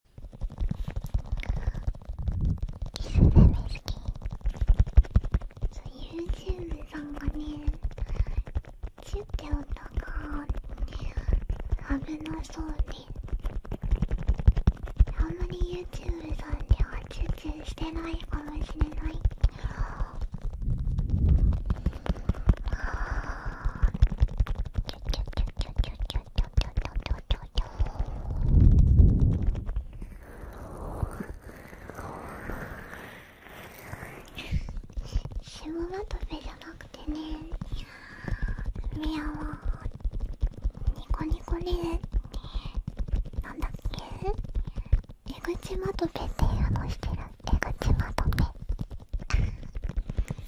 キスダメ好きそう YouTube さんがね10っとかね危なそうで、あんまり YouTube さんではチュチュしてないかもしれないキュッキュッキュッキュッキュッキュちちシモバトペじゃなくてねミヤはニコニコリレてなんだっけ出口まとペっていうのしてる出口まとペ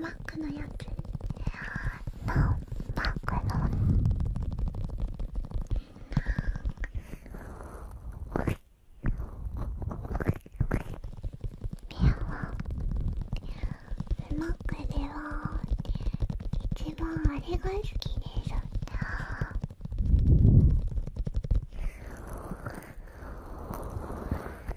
マックのやつの、マックのマックでは一番あれが好きです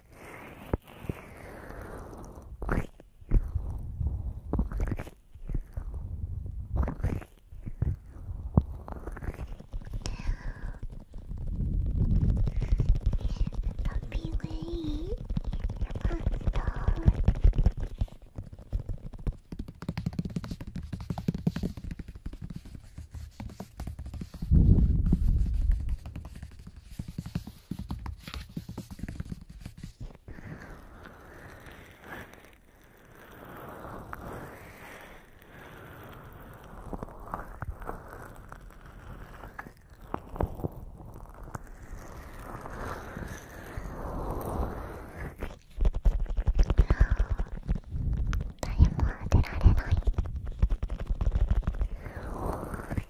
ピンク誰も当てられない。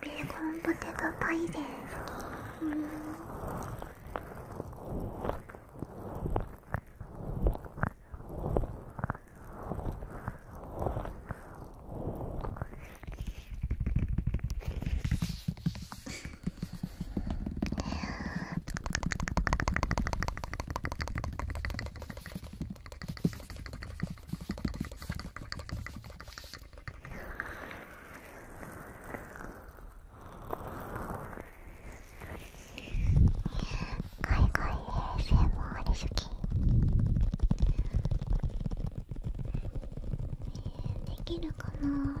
ベーコンポテトパイです海外 ASMR 好きできるかな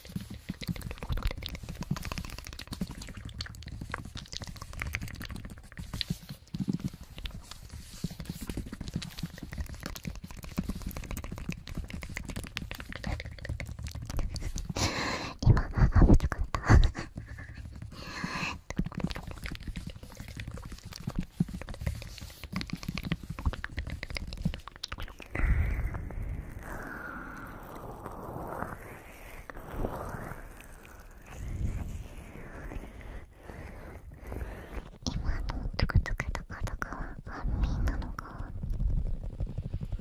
今あぶつかった今のトクトクとかとかは安眠なのかアー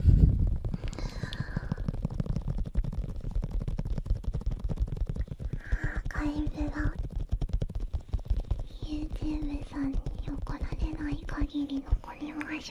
カイブが YouTube さんに怒られない限り残ります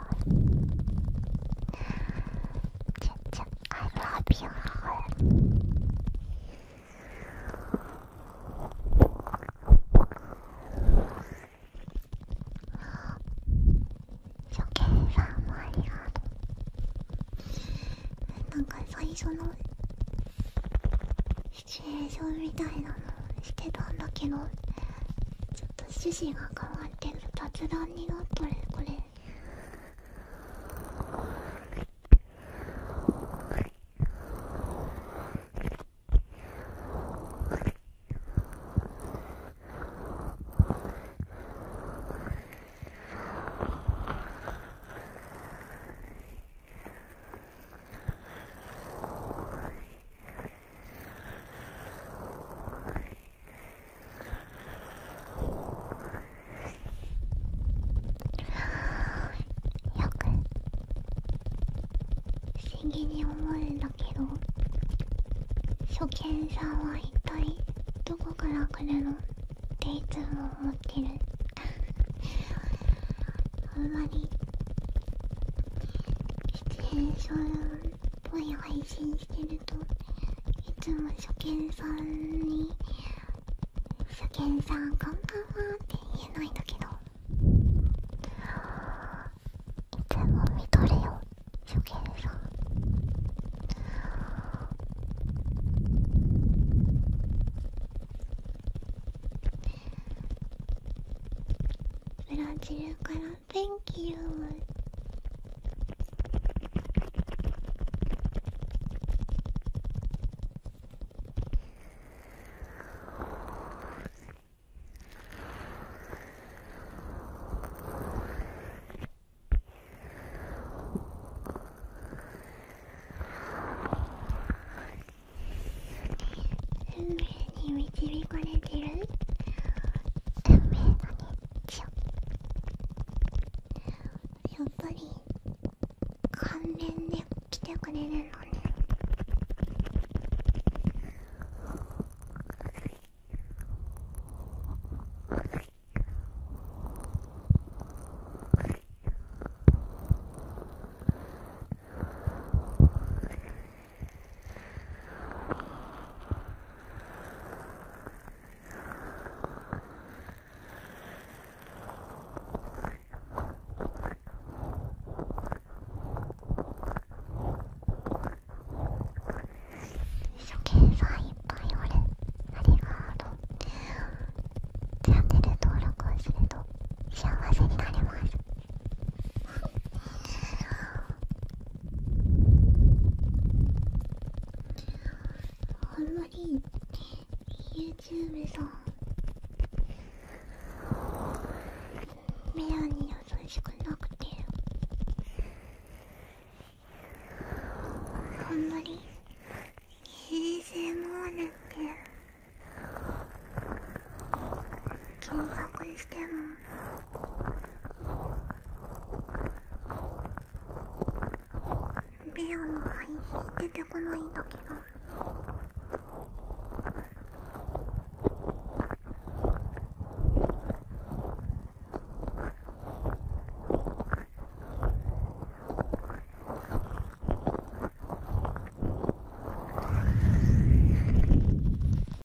チュチュ、I love you. 初見さんもありがとう。なんか最初のシチュエーションみたいなのしてたんだけどちょっと趣旨が変わってる雑談になったるこれはよく不思議に思うんだけど初見さんは一体どこから来るのっていつも思ってる あんまり出演者のぽい配信してるといつも初見さんに「初見さんこんばんは」って言えないんだけどいつも見とれよ初見さん。ブラジルから Thank you. And really, we did れる運の日やっぱり関連で来てくれるのね初見さんいっぱいおるありがとうチャンネル登録をすると幸せになれますあんまり YouTube さんメラに優しくなくてあんまり a s も、r って驚愕してもビヨンの配信出てこないんだけど。